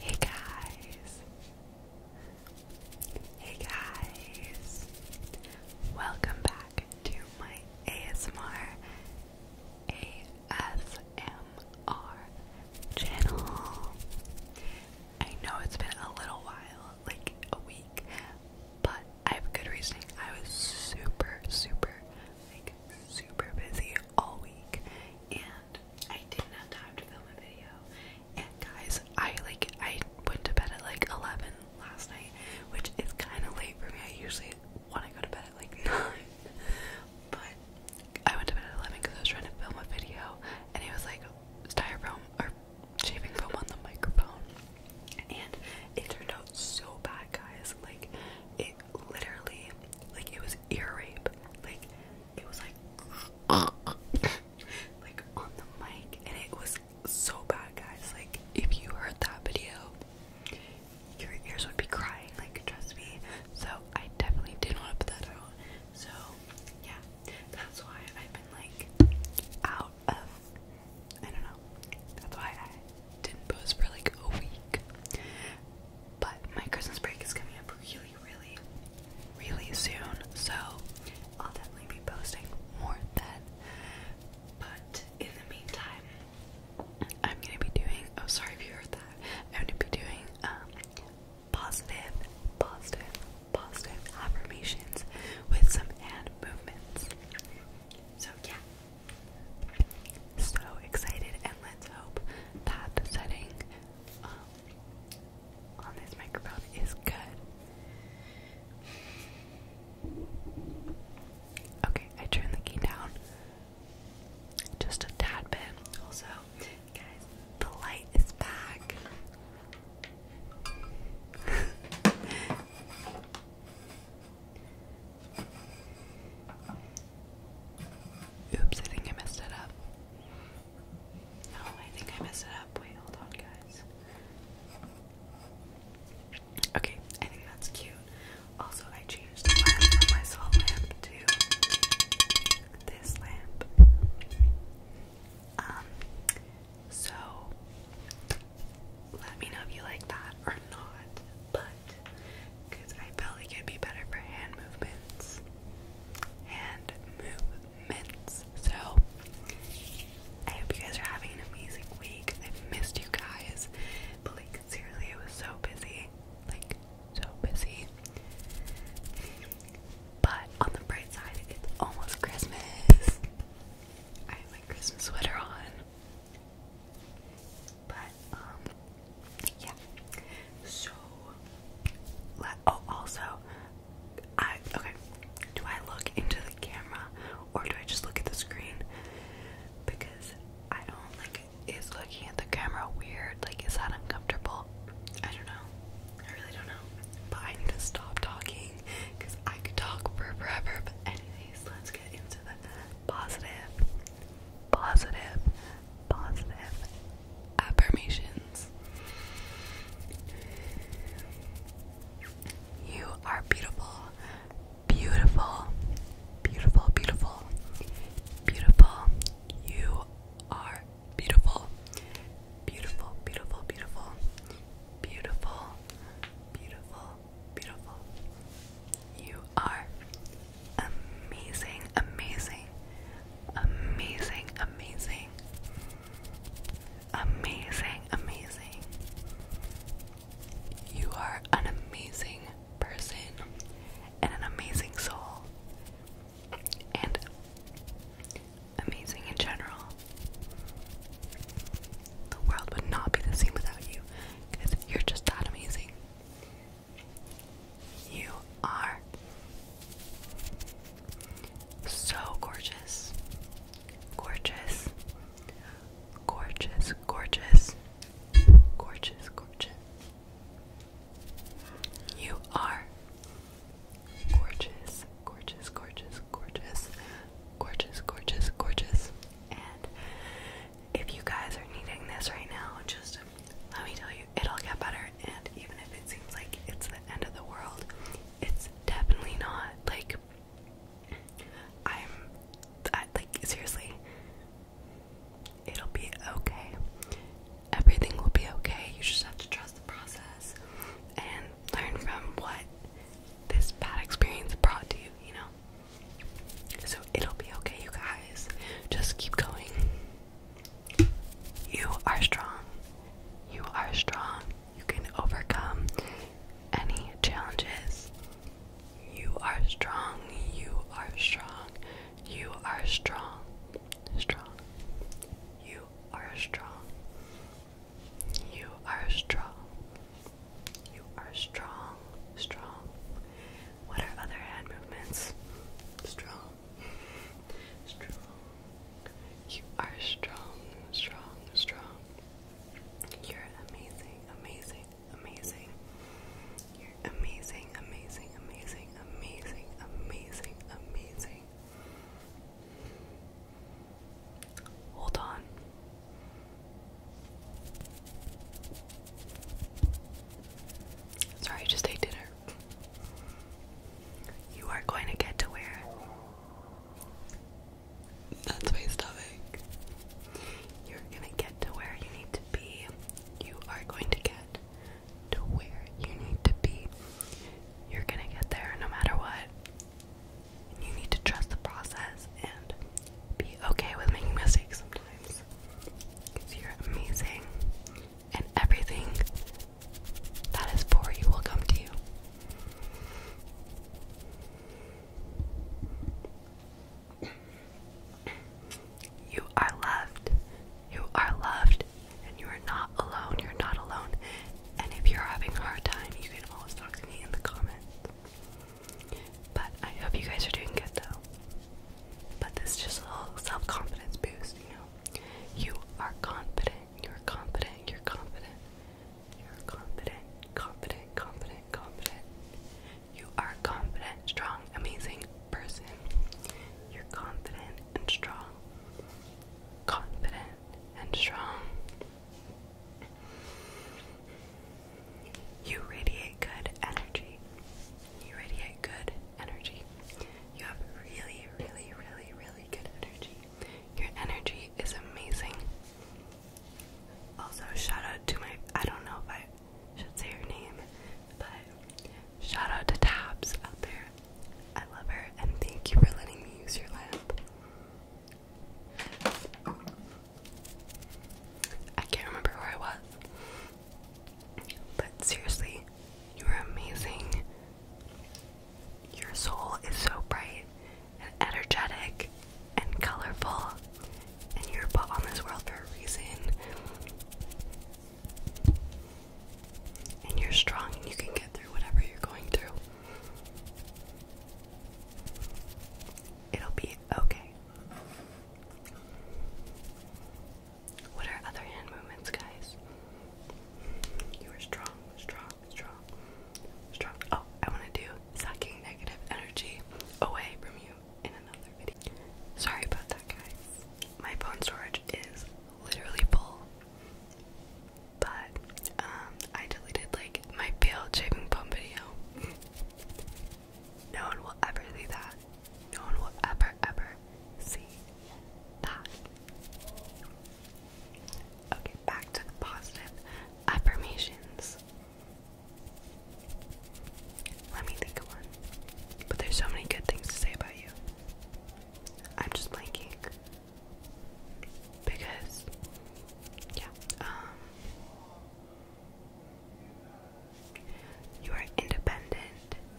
Hey guys. Hey guys. Welcome back to my ASMR ASMR channel. I know it's been a little while, like a week, but I have good reasoning. I was super super like super busy all week and I didn't have time to film a video. And guys, I like I went to bed at like 11 last night, which is kind of late for me. I usually want to go to bed at like 9. But I went to bed at 11 because I was trying to film a video and it was like styrofoam or shaving foam on the microphone. And it turned out so bad, guys. Like, it literally, like, it was ear rape. Like, it was like, like on the mic, and it was so bad, guys. Like, if you heard that video, your ears would be crying. Like, trust me. So, I definitely didn't want to put that out. So, yeah, that's why I've been like out of. I don't know. That's why I didn't post for like a week. But my Christmas break is coming up really, really, really soon. So I'll definitely be posting more then. But in the meantime, I'm gonna be doing oh sorry if you heard that. I'm gonna be doing um positive, positive, positive affirmations with some hand movements. So yeah, so excited, and let's hope that the setting um, on this microphone is good. Okay, I turned the key down just a tad bit. Also, guys, the light is back. Oops, I think I messed it up. No, I think I messed it up. Wait, hold on, guys. Okay, I think that's cute. Also, I changed the lamp from my salt lamp to this lamp. Um, so let me know if you like that or not. But because I felt like it'd be better for hand movements. Hand movements. So, I hope you guys are having an amazing week. I've missed you guys, but like, seriously, it was so busy. Like, so busy. But on the bright side, it's almost Christmas. I have my Christmas sweater on. But um yeah. So oh also I okay. Do I look into the camera or do I just look at the screen? Because I don't like is looking at the camera weird? Like is that uncomfortable? I don't know. I really don't know. But I need to stop talking because I could talk for forever. But anyways, let's get into the positive, positive, positive affirmations. You are beautiful, beautiful, beautiful, beautiful, beautiful. You are beautiful, beautiful, beautiful, beautiful, beautiful, beautiful, beautiful. You are amazing, amazing, amazing, amazing, amazing, amazing. You are an amazing person and an amazing soul, and amazing in general. The world would not be the same without you because you're just that amazing. You are so gorgeous. Gorgeous. Gorgeous, gorgeous. Gorgeous, gorgeous. You are gorgeous, gorgeous, gorgeous, gorgeous, gorgeous, gorgeous, gorgeous. And if you guys are needing this right now, just let me tell you it'll get better. And even if it seems like it's the end of the world, it's definitely not. Like, I'm like, seriously, it'll be okay. Everything will be okay. You just have to trust the process and learn from what this bad experience brought to you, you know? So it'll be okay, you guys. Just keep going. You are strong. You are strong. You can overcome any challenges. You are strong. You are strong. You are strong. Strong. You are strong. You are strong. You are strong. Strong. What are other hand movements? Strong. You are strong, strong, strong. You're amazing, amazing, amazing. You're amazing, amazing, amazing, amazing, amazing, amazing. Hold on. Sorry, just ate dinner. You are going to get to where that's my stomach. You're going to get to where you need to be. You are going to get to where you need to be. You're going to get there no matter what. you need to trust the process and be okay with making mistakes sometimes. Because you're amazing and everything that is for you will come to you. You are loved. You are loved. And you are not alone. You're not alone. And if you're having a hard time, you can always talk to me in the comments. But I hope you guys are doing good though. But this is just a little self confidence boost, you know. You are confident, you're confident, you're confident, you're confident, confident, confident, confident. You are confident, strong, amazing person. You're confident and strong. Confident and strong. You radiate good energy. You radiate good energy. You have really, really, really, really good energy. Your energy is amazing. Also, shout out to my I don't know if I should say her name, but shout out to Tabs out there. I love her and thank you for letting me use your lamp. I can't remember where I was. But seriously, you are amazing. Your soul is so bright and energetic and colorful, and you're put on this world for a reason. And you're strong and you can get through whatever you're going through. It'll be okay. What are other hand movements, guys? You are strong, strong, strong, strong. Oh, I want to do sucking negative energy away from you in another video. Sorry about that, guys. My phone storage is literally full. But um, I deleted like my failed shaving pump video. no one will ever see that. No one will ever, ever see that. Okay, back to positive affirmations. Let me think of one. But there's so many good things to say about you. I'm just blanking. Because, yeah, um, you are independent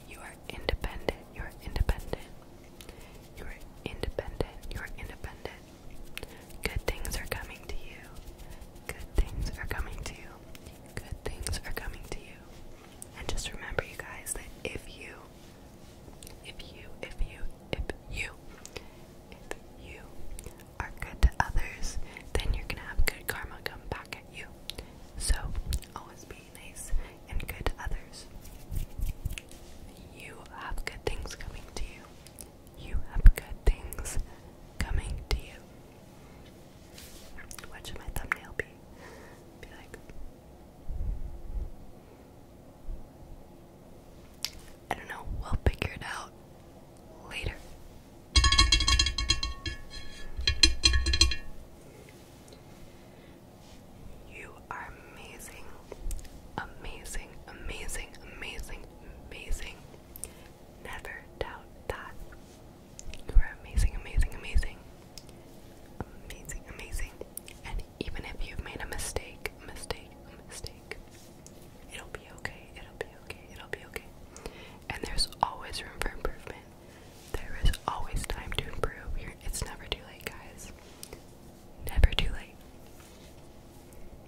you are independent. You are independent. You are independent. You are independent. Good things are coming to you. Good things are coming to you. Good things are coming to you. And just remember, you guys, that if you, if you, if you, if you, if you are good to others, then you're gonna have good karma come back at you. So always be be nice and good to others. You have good things coming to you. You have good things coming to you. What should my thumbnail be? Be like. I don't know, we'll figure it out later. You are amazing, amazing, amazing, amazing, amazing. Never doubt that. You are amazing, amazing, amazing. Amazing, amazing. And even if you've made a mistake, mistake, mistake, it'll be okay, it'll be okay, it'll be okay. And there's always room for improvement. There is always time to improve. it's never too late, guys. Never too late.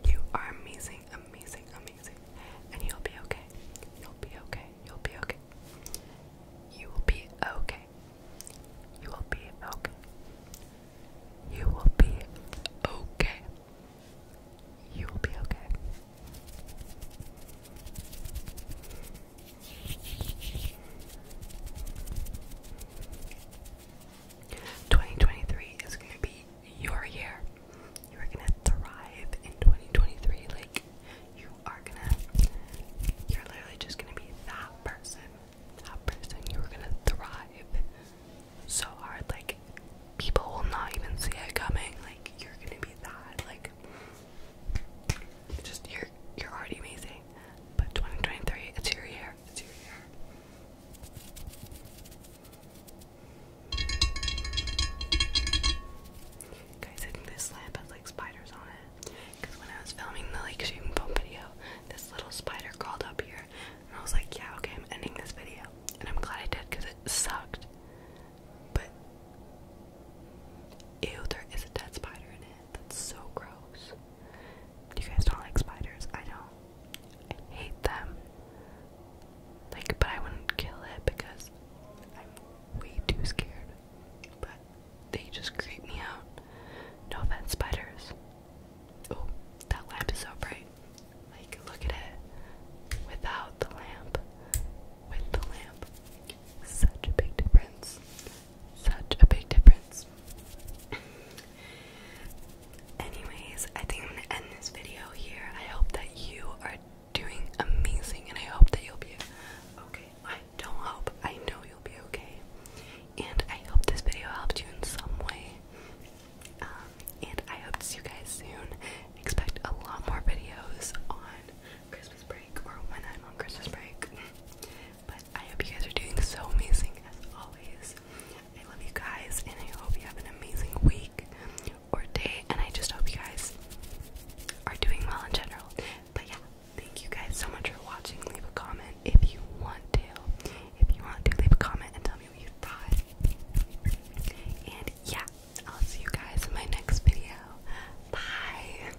You are amazing, amazing, amazing. And you'll be okay. You'll be okay. You'll be okay. You will be okay. You will be okay. You will be okay. You will be okay. 2023 is going to be your year. You are going to thrive in 2023. Like, you are going to, you're literally just going to be that person. That person. You are going to thrive so hard. Like, people will not even see it coming. Like, you're going to be that. Like, just, you're, you're already amazing but 2023, it's your year. It's your year. Guys, I think this lamp has like spiders on it. Because when I was filming the like shooting video, this little spider crawled up here. And I was like, yeah, okay, I'm ending this video. And I'm glad I did because it sucked. But, ew, there is a dead spider in it. That's so gross. You guys don't like spiders. I don't. I hate them. Like, but I wouldn't kill it because I'm way too scared. But they just creep me out. No offense, spiders. Oh, that lamp is so bright. Like, look at it. Without the lamp. With the lamp. Such a big difference. Such a big difference. Anyways, I think I'm going to end this video here. I hope that you are doing amazing and I hope that you'll be okay. I don't hope, I know you'll be okay. And I hope this video helped you in some way. Um, and I hope to see you guys soon. Expect a lot more videos on Christmas break or when I'm on Christmas break. But I hope you guys are doing so amazing as always. I love you guys, and I hope you have an amazing week or day. And I just hope you guys are doing well in general. But yeah, thank you guys so much for watching. Leave a comment if you want to. If you want to, leave a comment and tell me what you thought. And yeah, I'll see you guys in my next video. Bye.